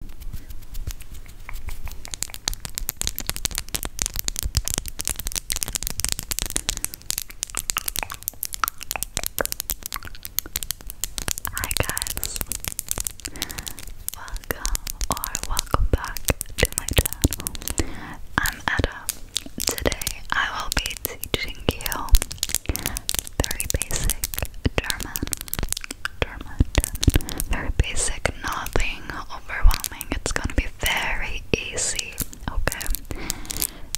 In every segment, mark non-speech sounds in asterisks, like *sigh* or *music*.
Hi guys, welcome or welcome back to my channel. I'm Etta. Today I will be teaching you very basic German. Very basic, nothing overwhelming. It's gonna be very easy, okay?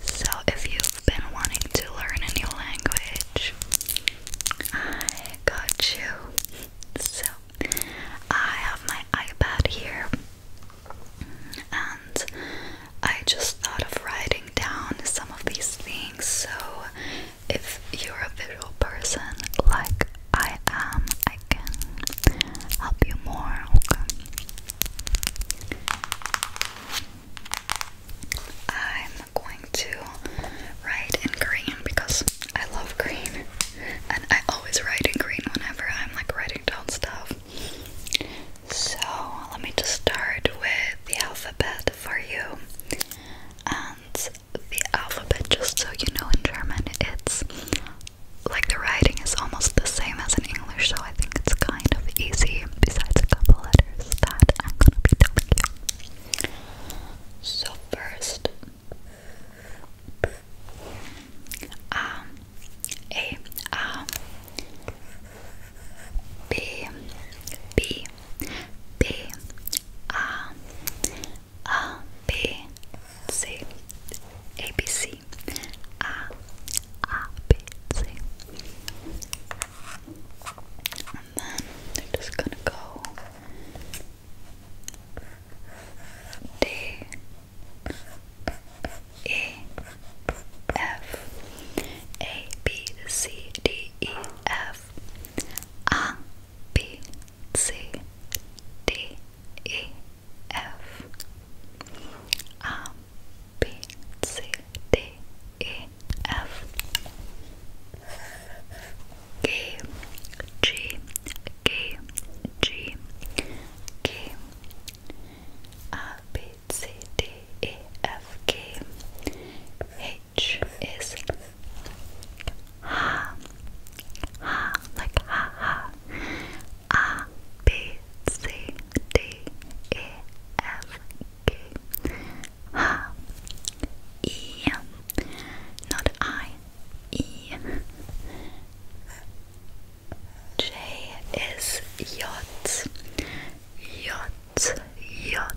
So, if you've been wanting to learn a new language, I got you. So, I have my iPad here, and I just thought of writing down some of these things. So, if you're a visual person like I am, I can help you more. Okay. I'm going to write in green because I love green, and I always write in green whenever I'm like writing down stuff. So let me just start with the alphabet for you. Um, the alphabet just so you know in German it's like the writing is almost the same as in English so I think it's kind of easy besides a couple letters that I'm gonna be telling you. So first um, A A um, B B B a, A, B, C, A, B, C, A, A, B, C. And then they're just gonna go D, E, F, A, B, C, D, E, F. A B C D E F A B C D E F G G G G G A B C D E F G H H is ha, ha, like ha ha. A, B, C, D, E, F, G. not I, E. J is yacht, yacht, yacht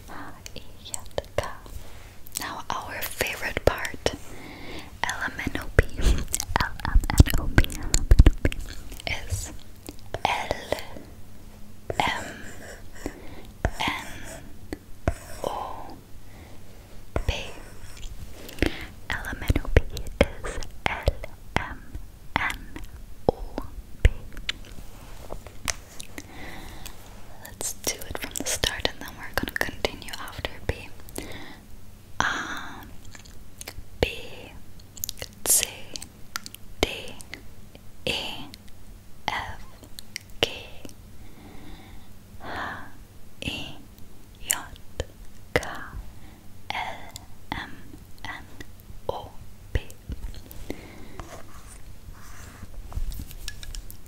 now our favorite part, LMNOP, LMNOP, LMNOP is L M N O P. LMNOP is L M N O P. Let's do it from the start and then we're gonna continue after B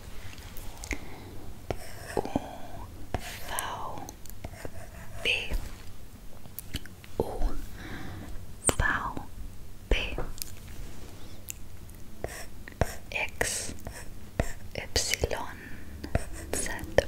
V O V B X Epsilon think that the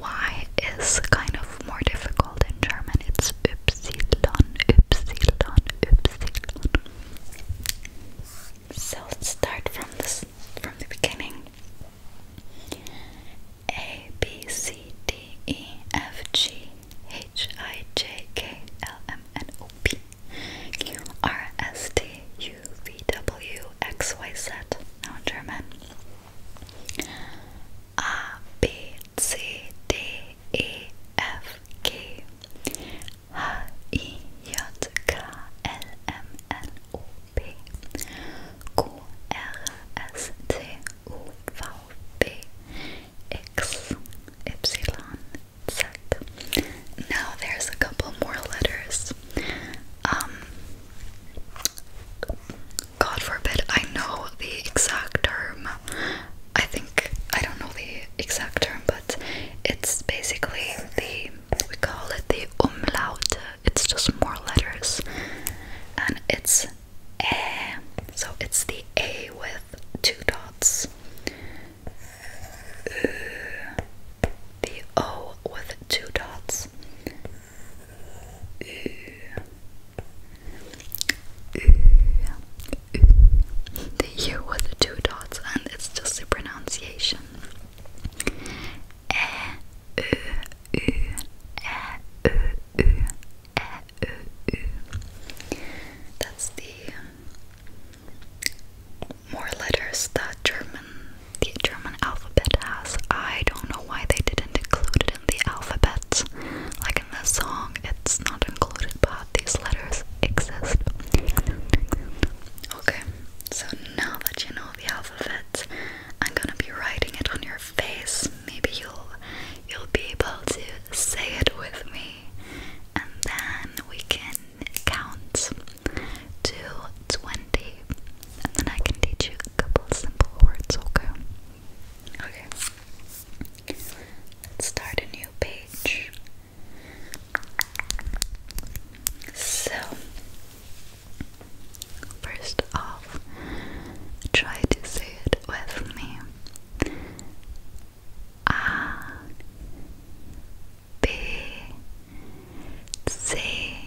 Y is kind of more difficult in German. It's Ypsilon, Ypsilon, Ypsilon. So let's start from this from the beginning. A B C D E F G H I J K L M N O P Q R S T U V W X Y Z now in German a B C D E F G H I J K L M N O P Q R S T U V B X Now there's a couple more letters. Um, God forbid I know the exact term. I think I don't know the exact term, but it's basically the we call it the umlaut. It's just more letters, and it's a. So it's the a with two dots, the o with two dots, the U with the two dots, and it's just the pronunciation. E, U, U, E, U, U, E, U, U. That's the um, more letters that German, the German alphabet has. I don't know why they didn't include it the alphabet. Like in this song, it's not included, but these letters exist. Okay, so now that you know the alphabet, I'm gonna be writing it on your face. Maybe you'll you'll be able to say it with me, and then we can count to twenty, and then I can teach you a couple simple words. Okay. Okay. Let's start a new page. So, first off, try to say it with me. A, B, C,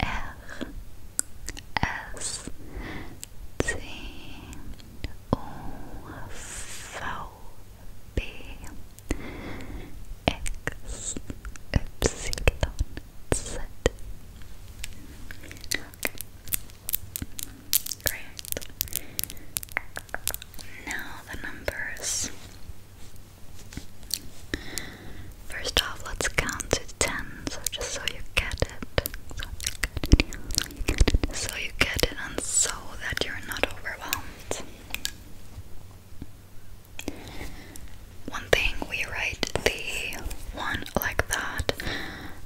R S T O V B X Y Z. Okay. Great. Now the numbers First off, let's count to ten, so just so you get it. So you get it. So and so that you're not overwhelmed. One thing we write the one like that.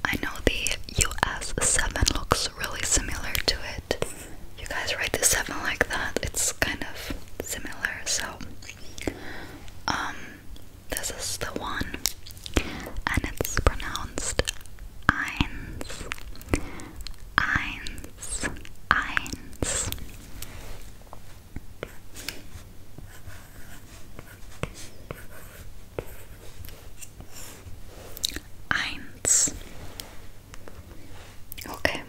I know the US seven looks really similar to it. You guys write the seven like that, it's kind of similar, so um, this is the one, and it's pronounced eins, eins, eins. Eins. Okay.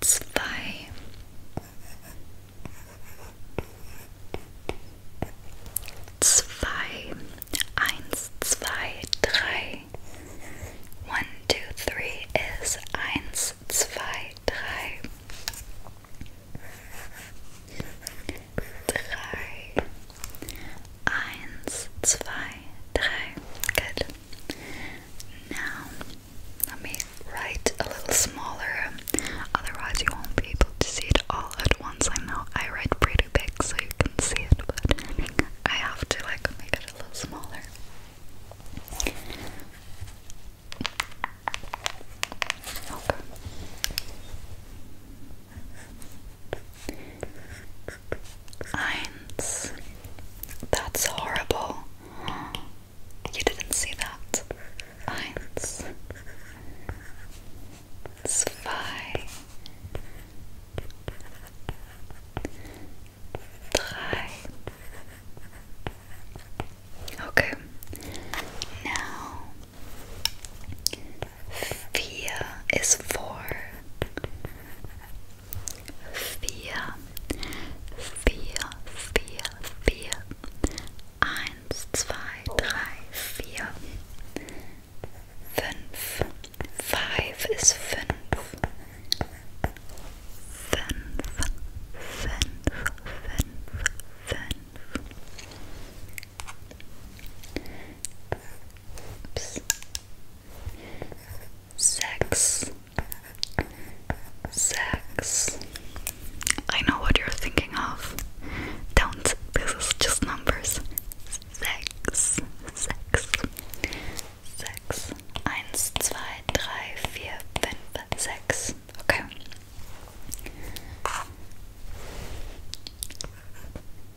Zwei. Zwei. One, two, three is eins, zwei, one, two, three. zwei, Good. Now, let me write a little smaller, otherwise, you won't be able to see it all at once. I know I write pretty big so you can see it, but I have to like make it a little smaller. Okay. Eins. That's horrible. You didn't see that. Eins. Zwei. Drei. Okay. Now Vier is four. Vier, vier, vier, vier. Eins, zwei, drei, vier. Fünf. Five is fünf. Fünf, fünf, fünf, fünf. Oops. Sex. Sex. I know what you're thinking of. Don't. This is just numbers. Sex. Sex. Sex. Eins, Okay.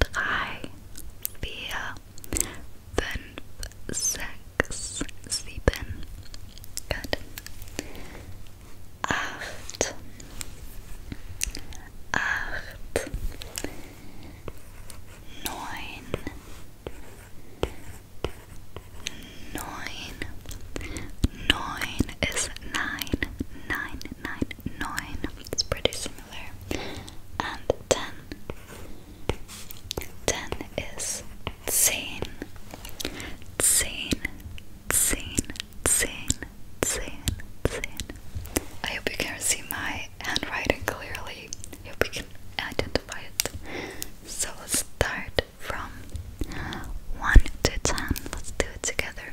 drei, vier, fünf, sechs, sieben, gut, acht, acht, neun, neun, neun ist nein, nein, nein, nine, it's pretty similar, and ten. Ten is zehn, zehn, zehn, zehn, zehn, zehn. I hope you can see my handwriting clearly. I hope you can identify it. So let's start from one to ten. Let's do it together.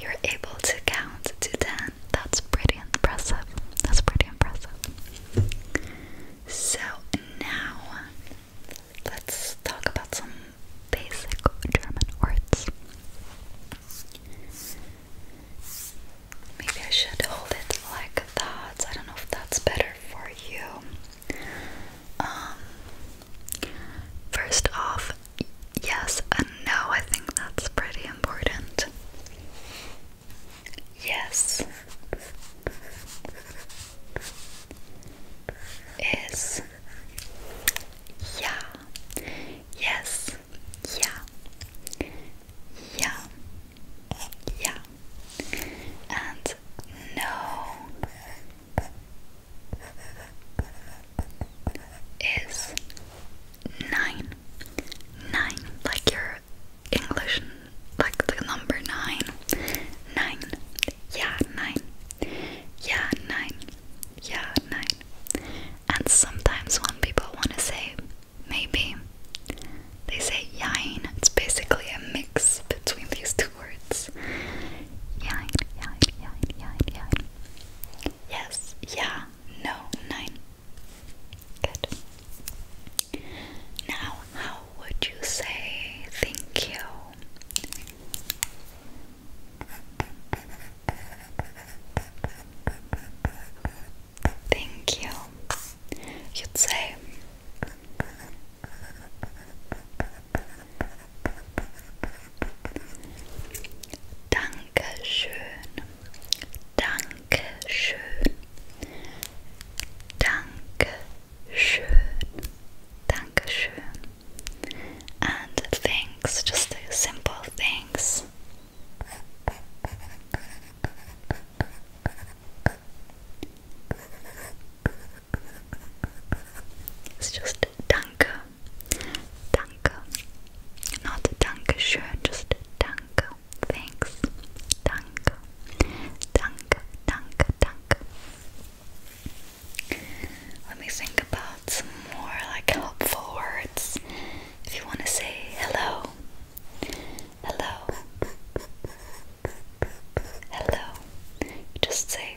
you're able to count to 10. That's pretty impressive. That's pretty impressive. So now let's talk about some basic German words. Maybe I should hold it like that. I don't know if that's better for you. Um, first off, yes, no, I think that's pretty important. Yes. Is. Yeah. Yes. Yeah. Yeah. Yeah. And no. Is nine nine, like your English, like the number nine, nine, yeah, nine, yeah, nine, yeah, nine. And sometimes when people want to say maybe, they say yain. It's basically a mix between these two words. Yain, yain, yain, yain, yain. Yes, yeah, no, nine. Now, how would you say thank you? Thank you. You'd say Danke. Dankeschön, Dankeschön, Dankeschön, Dankeschön, and thanks, just the simple things. It's just danke Danke. Not danke schön, just danke. Thanks. Danke. Danke, danke, danke. Let me think about some more like helpful words. If you want to say hello, hello, hello, just say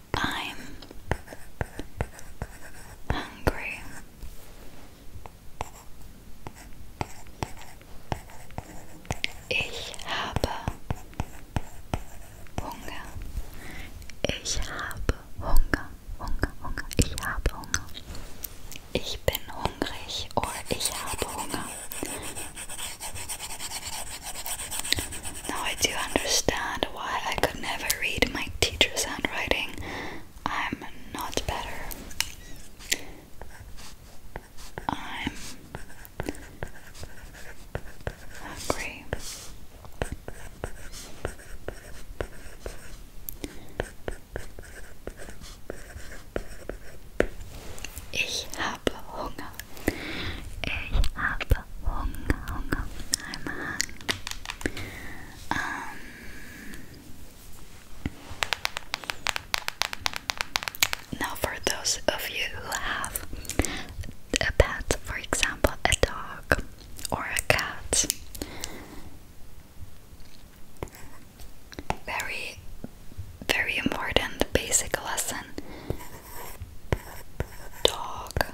I'm hungry. Ich habe Hunger. Ich habe Hunger, Hunger, Hunger. Ich habe Hunger. Ich bin hungrig oder ich habe Hunger. Now I do understand why I could never read my teacher's handwriting. I'm not better. I'm hungry. Ich habe Hunger. Ich habe um, now, for those of you who have a pet, for example, a dog or a cat, very, very important basic lesson. Dog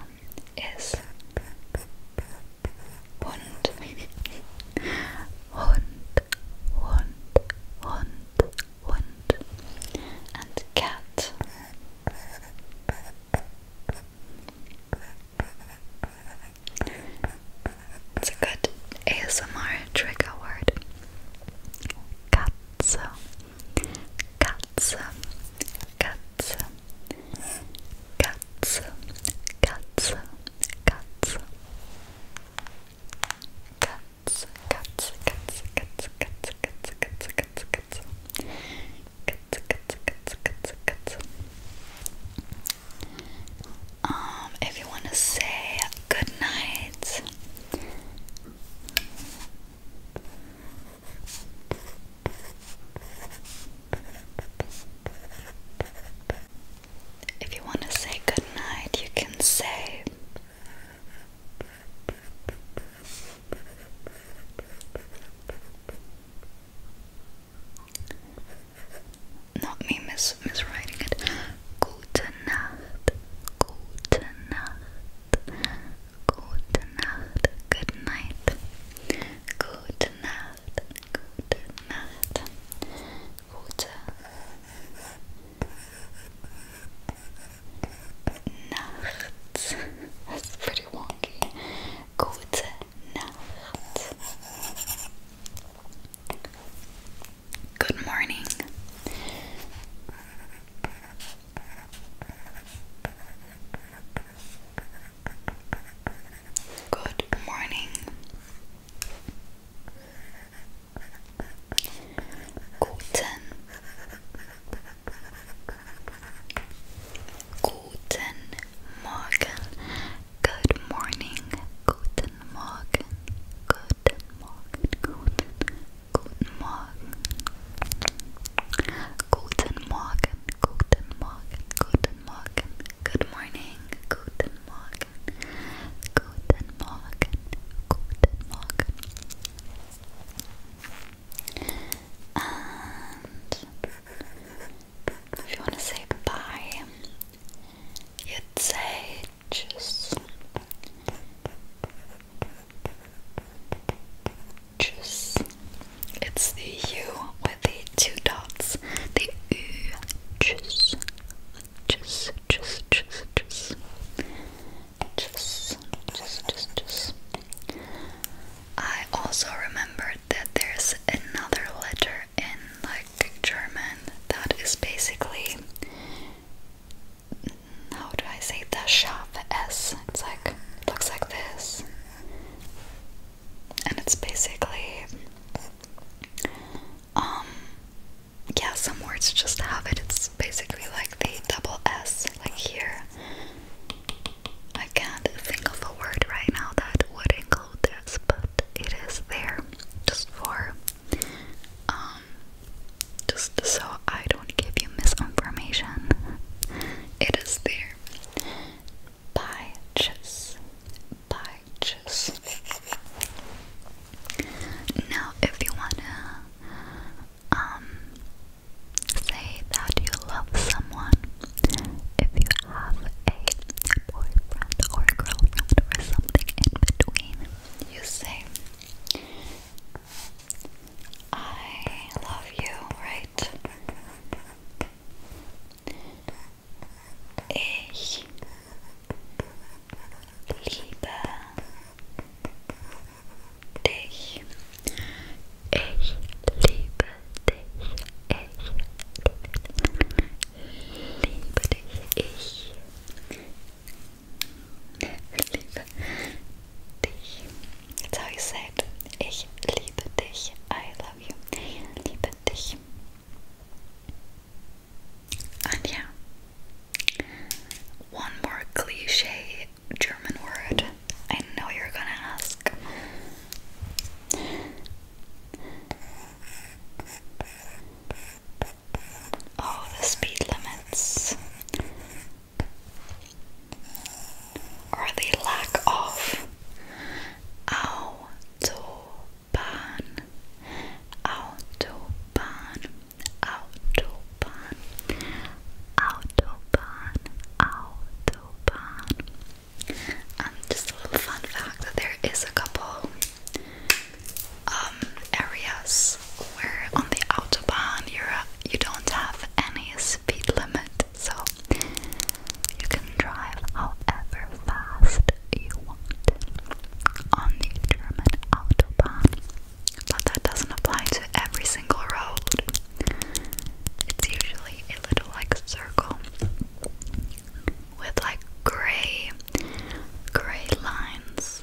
ist Hund. Hund, Hund, Hund, Hund. And cat. It's a good ASMR trigger word. Katze. Katze, Katze, Katze, Katze, Katze, Katze, Katze, Katze, Katze, Katze, Katze, Katze, Katze, Katze, Katze, Katze, Katze, Katze. Um, if you want to say good night. If you want to say good night, you can say not me mis miswriting it. *gasps* Gute Nacht, Gute Nacht, Gute Nacht, good night. Gute Nacht, gute Nacht. Gute Nacht. That's pretty wonky. Gute Nacht. Good morning. Good morning. Guten. Guten Morgen. Good morning. Guten Morgen. Guten Morgen. Guten Guten Morgen. Guten Morgen. Guten Morgen. Guten Morgen. Good morning. Guten Morgen. Guten Morgen. Guten Morgen. And if you want to say bye, you'd say tschüss juice. It's the U with the two dots. The U juice. Juice, juice, juice, juice. Juice, juice, juice, juice. I also remembered that there's another letter in like German that is basically how do I say the sharp S? It's like looks like this, and it's basically um yeah some words just have it. It's basically like the double S, like here. I can't think of a word right now that would include this, but it is there just for um just so I don't give you misinformation. It is there. Pages. Pages. Now, if you wanna um say that you love someone, if you have a boyfriend or girlfriend or something in between, you say I love you, right? Ich liebe dich. Ich liebe dich. Ich liebe dich. Ich Ich liebe dich. That's how you Ich liebe dich. I love you. liebe dich. And yeah, one more cliche German word. I know you're gonna ask. Oh, the speed limits or the lack of Autobahn, Autobahn, Autobahn, Autobahn, Autobahn. Um, just a little fun fact that there is a couple um, areas where on the autobahn you're, you you do not have any speed limit, so you can drive however fast you want on the German autobahn. But that doesn't apply to every single road. It's usually a little like a circle with like gray, gray lines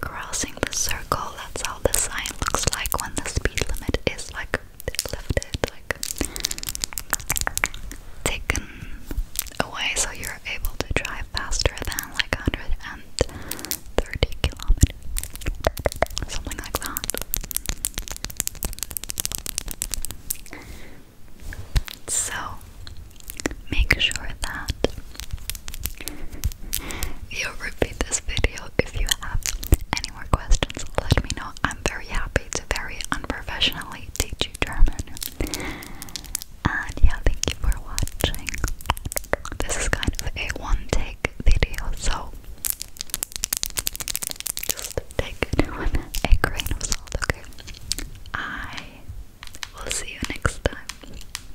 Crossing the circle, that's how the sign looks like when the speed limit is like lifted, like taken away, so you're able to drive faster than like 130 kilometers, something like that. So make sure that You'll repeat this video if you have any more questions. Let me know. I'm very happy to very unprofessionally teach you German. And yeah, thank you for watching. This is kind of a one take video, so just take *laughs* a grain of salt, okay? I will see you next time.